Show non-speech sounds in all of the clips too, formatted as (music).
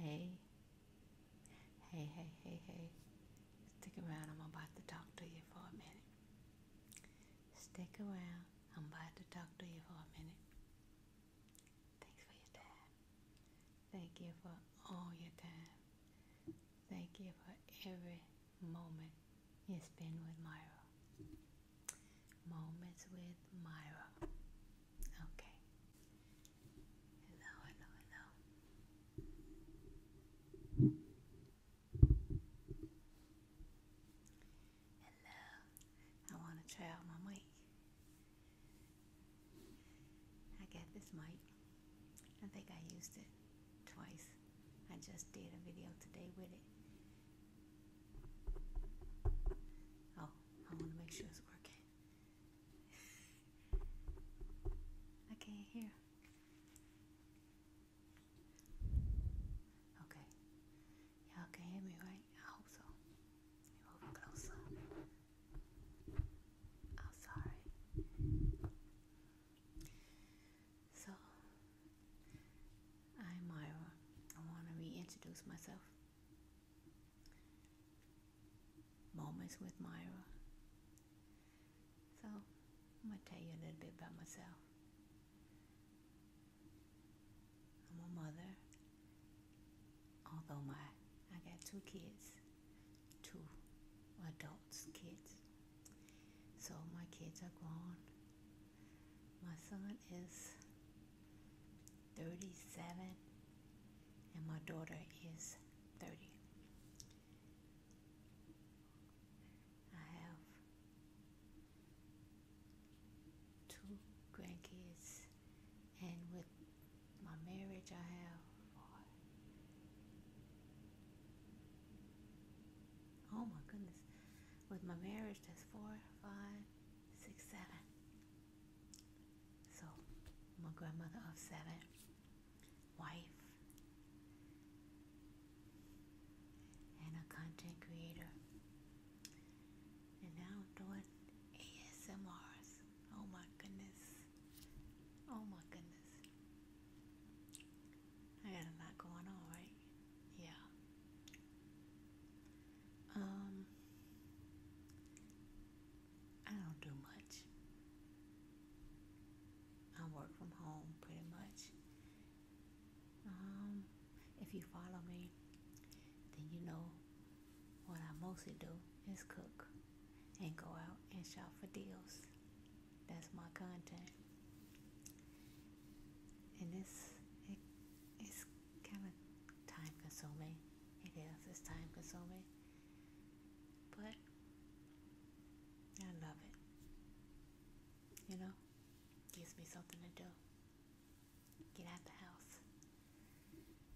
Hey, hey, hey, hey, hey. Stick around, I'm about to talk to you for a minute. Stick around, I'm about to talk to you for a minute. Thanks for your time. Thank you for all your time. Thank you for every moment you spend with Myra moments with Myra. Okay. Hello, hello, hello. Hello. I want to try out my mic. I got this mic. I think I used it twice. I just did a video today with it. Oh, I want to make sure it's working. I (laughs) can't hear. Okay. you me, right? I hope so. move closer. I'm sorry. So, I'm Myra. I uh, want to reintroduce myself. Moments with Myra. So, I'm going to tell you a little bit about myself. i mother, although my I got two kids, two adults kids. So my kids are grown. My son is 37 and my daughter is 30. I have two grandkids and with my marriage I have oh my goodness with my marriage that's four five six, seven. So, my grandmother of seven, wife, and a content creator. And now doing ASMRs. Oh my goodness. Oh my goodness. I got a lot going on, right? Yeah. Um, I don't do much. I work from home pretty much. Um, if you follow me, then you know what I mostly do is cook and go out and shop for deals. That's my content. And it's, it, kind of time consuming. It is, it's time consuming. But I love it. You know, gives me something to do. Get out the house.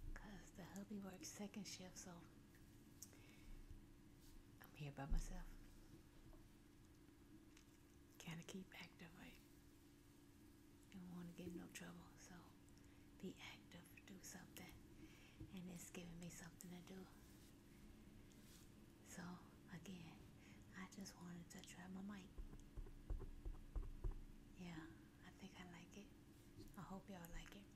Because the hubby works second shift, so I'm here by myself. Kinda keep active, don't want to get no trouble, so be active, do something. And it's giving me something to do. So, again, I just wanted to try my mic. Yeah, I think I like it. I hope y'all like it.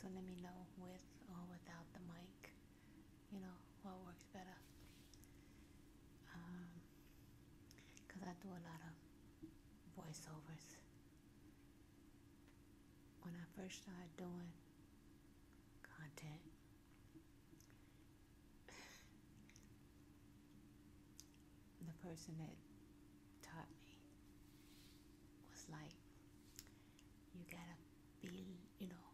So let me know with or without the mic you know, what works better. Because um, I do a lot of voiceovers. When I first started doing content, the person that taught me was like, you gotta be, you know,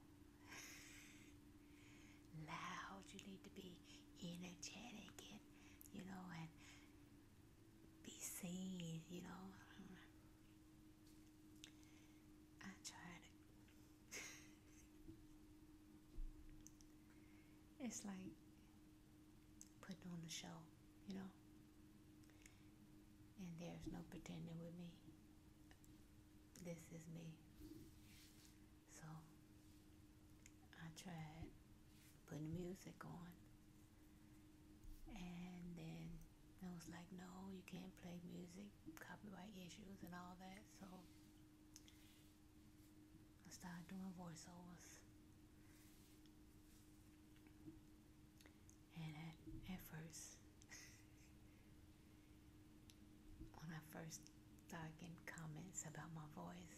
loud, you need to be energetic and, you know, and be seen, you know. (laughs) I tried (laughs) it's like putting on the show, you know. And there's no pretending with me this is me. So I tried putting music on. And then I was like, no, you can't play music, copyright issues and all that. So I started doing voiceovers. And at, (laughs) when I first started getting comments about my voice,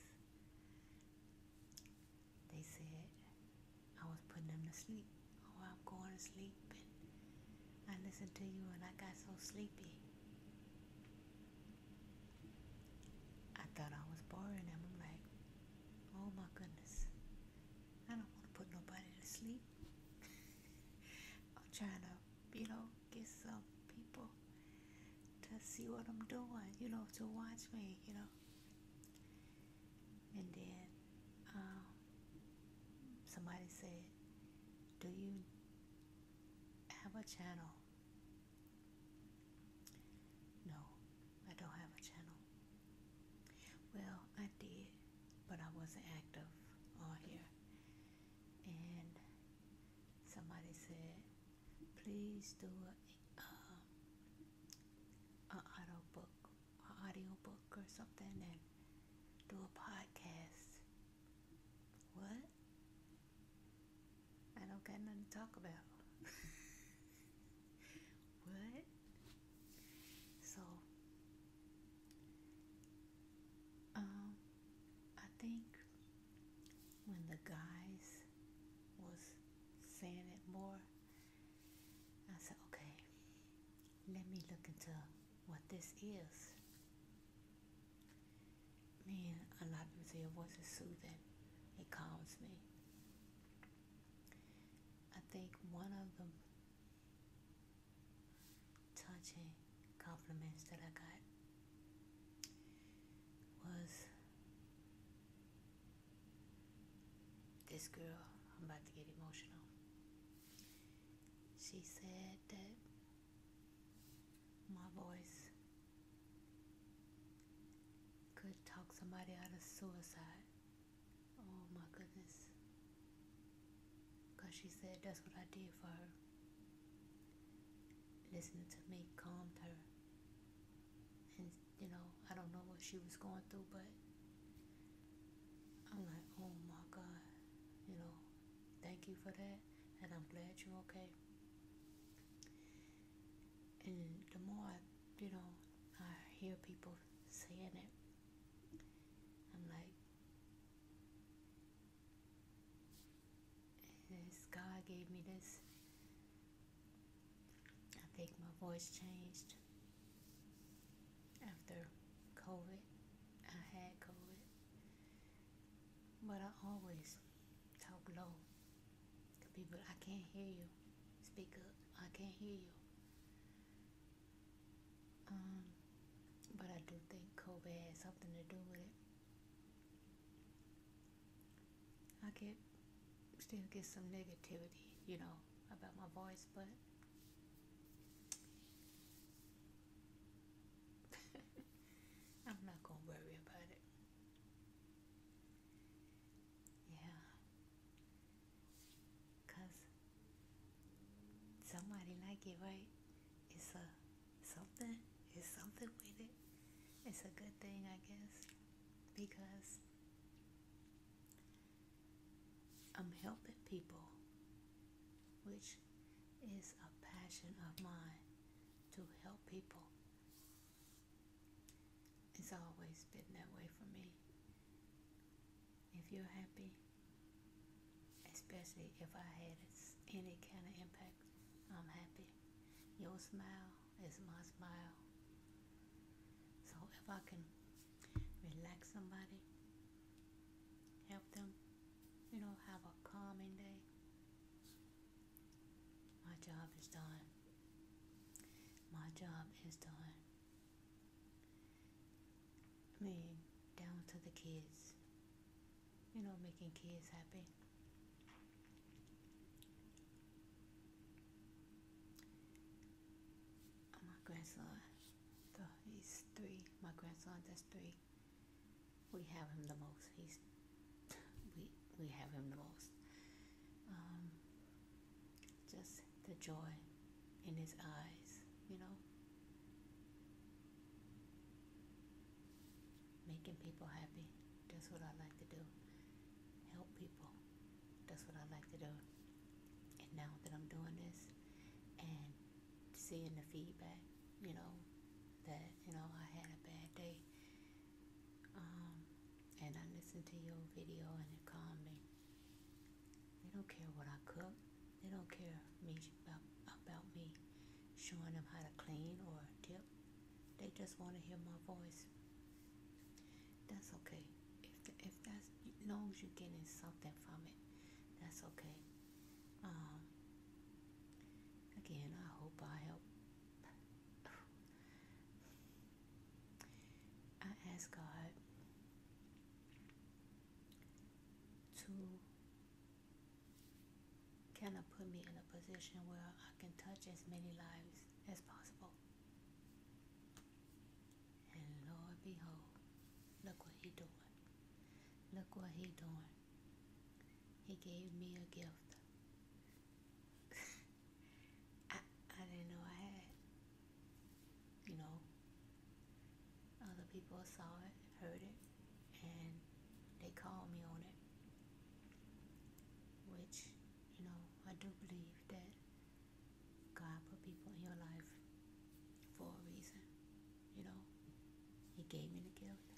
they said I was putting them to sleep. Oh, I'm going to sleep. And I listened to you and I got so sleepy. I thought I was boring them. I'm like, oh my goodness. I don't want to put nobody to sleep. (laughs) I'm trying to you know, get some people to see what I'm doing, you know, to watch me, you know. And then um, somebody said, Do you have a channel? No, I don't have a channel. Well, I did, but I wasn't active on here and somebody said, please do a, uh, audio book, audio book or something, and do a podcast. What? I don't got nothing to talk about. (laughs) what? So um, I think when the guys was saying it more, I said, okay, let me look into what this is. Man, a lot of people say your voice is soothing. It calms me. I think one of them touching compliments that I got was this girl, I'm about to get emotional. She said that my voice could talk somebody out of suicide. Oh my goodness. Because she said that's what I did for her. Listening to me calmed her. And, you know, I don't know what she was going through, but I'm like, oh my God. You know, thank you for that. And I'm glad you're okay. And the more I, you know, I hear people saying it, I'm like, this God gave me this, I think my voice changed after COVID. I had COVID, but I always talk low to people. I can't hear you. Speak up. I can't hear you. Um, but I do think COVID had something to do with it. I get still get some negativity, you know, about my voice, but (laughs) I'm not gonna worry about it. Yeah. Cause somebody like it, right? It's a something. It's something with it. It's a good thing, I guess, because I'm helping people, which is a passion of mine to help people. It's always been that way for me if you're happy, especially if I had any kind of impact, I'm happy. Your smile is my smile. So if I can relax somebody, help them, you know, have a calming day, my job is done. My job is done. I mean, down to the kids. You know, making kids happy. My grandson, he's three. My grandson, that's three. We have him the most. He's (laughs) we we have him the most. Um, just the joy in his eyes, you know? Making people happy, that's what I like to do. Help people, that's what I like to do. And now that I'm doing this and seeing the feedback, you know, that, you know, I had a bad day, um, and I listened to your video and it calmed me they don't care what I cook. They don't care me about, about me showing them how to clean or tip. They just want to hear my voice. That's okay. If, the, if that's, as long as you're getting something from it, that's okay. Um, again, I hope I help I ask God to kind of put me in a position where I can touch as many lives as possible. And Lord behold, look what he doing. Look what he doing. He gave me a gift. (laughs) I, I didn't know I had. You know, other people saw it, heard it, and they called me on it. Which, you know, I do believe that God put people in your life for a reason. You know, He gave me the gift.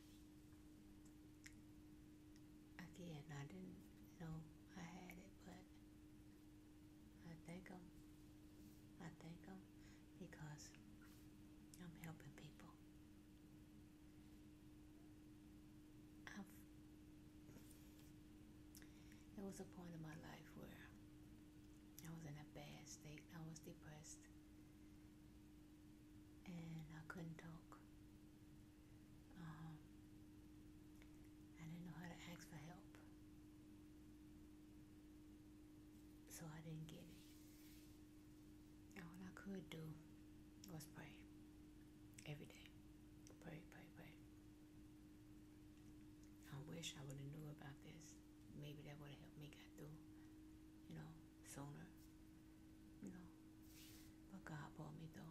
Again, I didn't know I had it, but I thank Him. I thank Him because I'm helping people. there was a point in my life where I was in a bad state. I was depressed and I couldn't talk. Um, I didn't know how to ask for help. So I didn't get it. All I could do was pray every day. Pray, pray, pray. I wish I would have knew about this. Maybe that would have helped me get through, you know, sooner. You know. But God brought me through.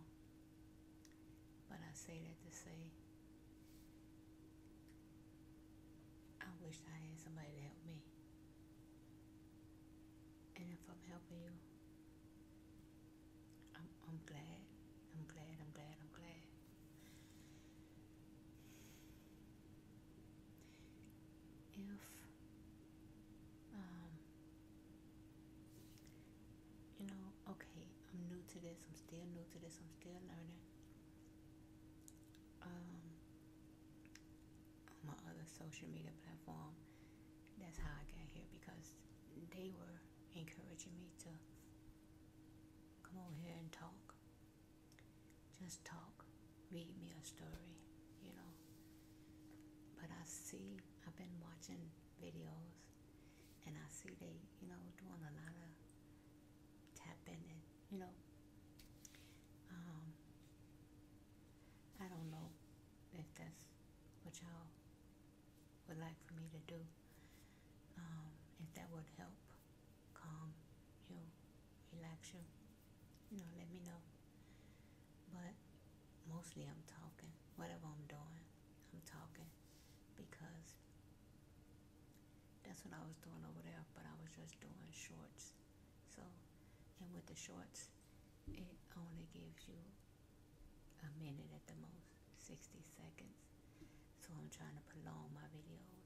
But I say that to say, I wish I had somebody to help me. And if I'm helping you, I'm, I'm glad. I'm glad, I'm glad, I'm glad. If um, you know, okay, I'm new to this, I'm still new to this, I'm still learning. Um, my other social media platform, that's how I got here because they were encouraging me to come over here and talk. Just talk, read me a story, you know. But I see, I've been watching videos and I see they, you know, doing a lot of tapping and, you know, um, I don't know if that's what y'all would like for me to do, um, if that would help calm you, relax you, you know, let me know. But mostly I'm talking, whatever I'm doing. I'm talking because that's what I was doing over there, but I was just doing shorts. So, and with the shorts, it only gives you a minute at the most, 60 seconds. So I'm trying to prolong my videos.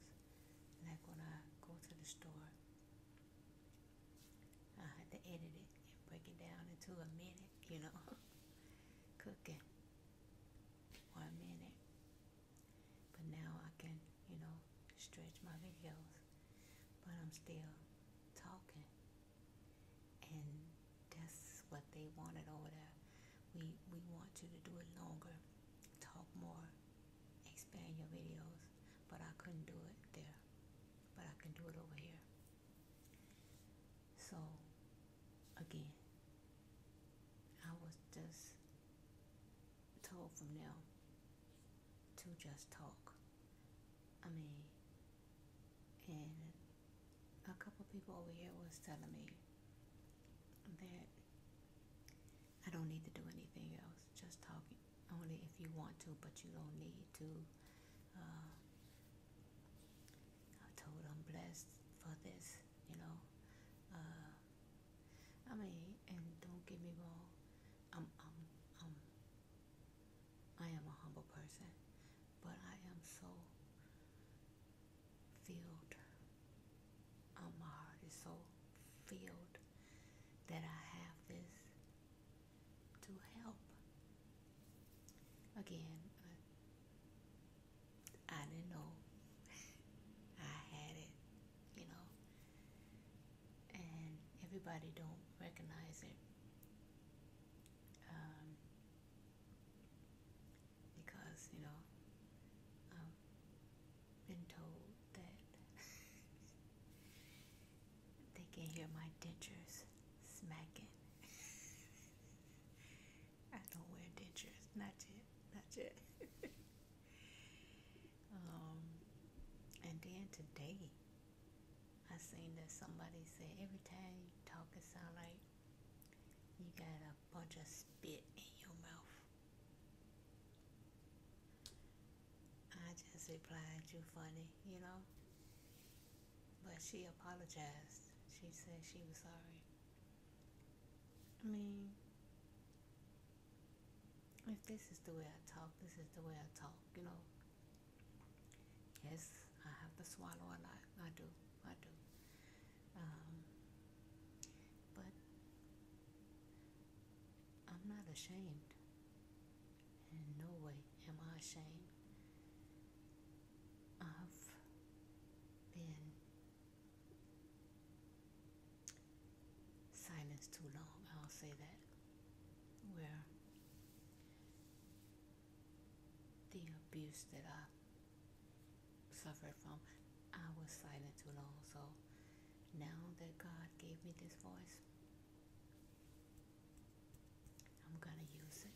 Like when I go to the store, I had to edit it and break it down into a minute you know, cooking one minute. But now I can, you know, stretch my videos, but I'm still talking. And that's what they wanted over there. We, we want you to do it longer, talk more, expand your videos, but I couldn't do it there. But I can do it over here. So, again, I was just told from now to just talk. I mean, and a couple people over here was telling me that I don't need to do anything else, just talking, only if you want to, but you don't need to. Uh, I told I'm blessed for this, you know. Uh, I mean, and don't give me more. I'm, I'm, I'm, I am a humble person, but I am so filled. Um, my heart is so filled that I have this to help. Again, uh, I, didn't know. (laughs) I had it, you know. And everybody don't recognize it. Um, because, you know, I've been told that (laughs) They can hear my dentures smacking. (laughs) I don't wear dentures, not yet, not yet. (laughs) um, and then today, I seen this somebody said every time you talk, it sound like you got a bunch of spit in your mouth. I just replied, You funny, you know? But she apologized. She said she was sorry. I mean, if this is the way I talk, this is the way I talk, you know. Yes, I have to swallow a lot. I do. I do. Um, but I'm not ashamed. In no way am I ashamed of being silenced too long. I'll say that. Where the abuse that I suffered from, I was silent too long. So now that God gave me this voice, I'm going to use it.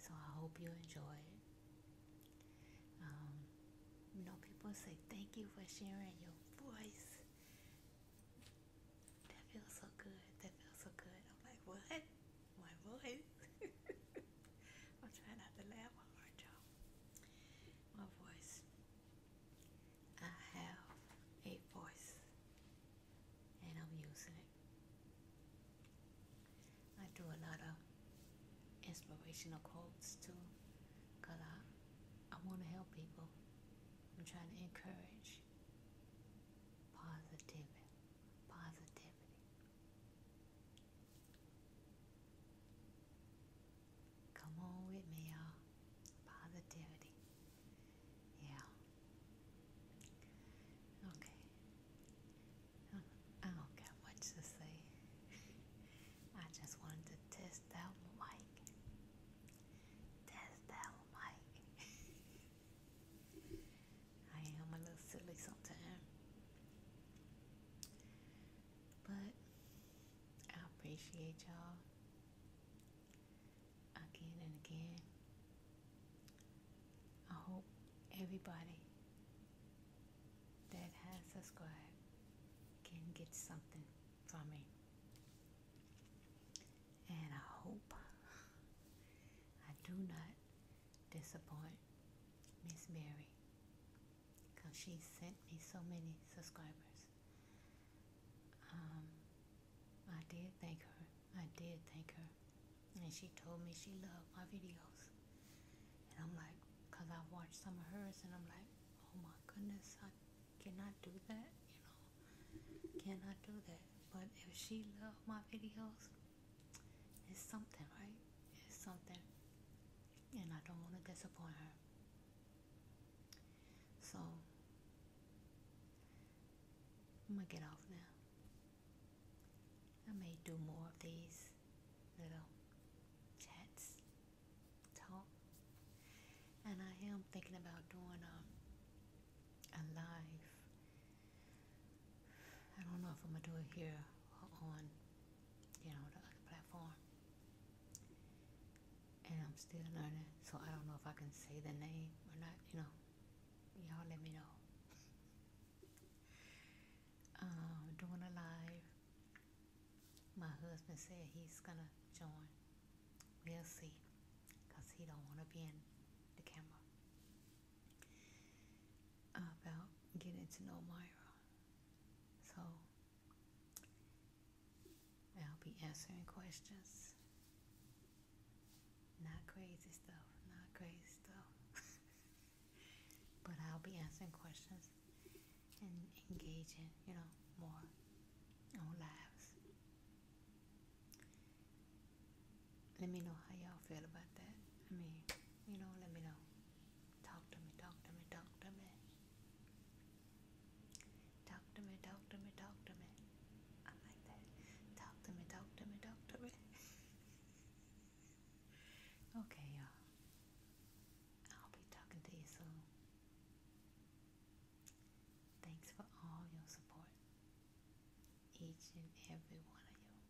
So I hope you enjoy it. Um, you know, people say thank you for sharing your voice. That feels so good. That feels so good. I'm like, what? My voice? (laughs) I'm trying not to laugh hard, y'all. My voice. I have a voice and I'm using it. I do a lot of inspirational quotes too because I, I want to help people. I'm trying to encourage positivity. Positivity. Come on with me, y'all. Positivity. Yeah. Okay. I don't got much to say. (laughs) I just wanted to test out my mic. Test out my mic. (laughs) I am a little silly sometimes. But I appreciate y'all again and again. I hope everybody that has subscribed can get something from me. And I hope I do not disappoint Miss Mary because she sent me so many subscribers. Um, I did thank her. I did thank her. And she told me she loved my videos. And I'm like, because I've watched some of hers and I'm like, oh my goodness, I cannot do that, you know. Cannot do that. But if she loved my videos, it's something, right? It's something. And I don't want to disappoint her. So I'm gonna get off now. I may do more of these little chats, talk, and I am thinking about doing a, um, a live. I don't know if I'm gonna do it here or on, you know, the other platform and I'm still learning, so I don't know if I can say the name or not. You know, y'all let me know. (laughs) um, doing a live. My husband said he's gonna join. We'll see, cause he don't want to be in the camera. About getting to know Myra, so I'll be answering questions. Not crazy stuff, not crazy stuff. (laughs) but I'll be answering questions and engaging, you know, more on lives. Let me know how y'all feel about that. I mean, you know, let me know. Talk to me, talk to me, talk to me. Talk to me, talk to me, talk to me. I like that. Talk to me, talk to me, talk to me. (laughs) okay, y'all. I'll be talking to you soon. Thanks for all your support. Each and every one of you.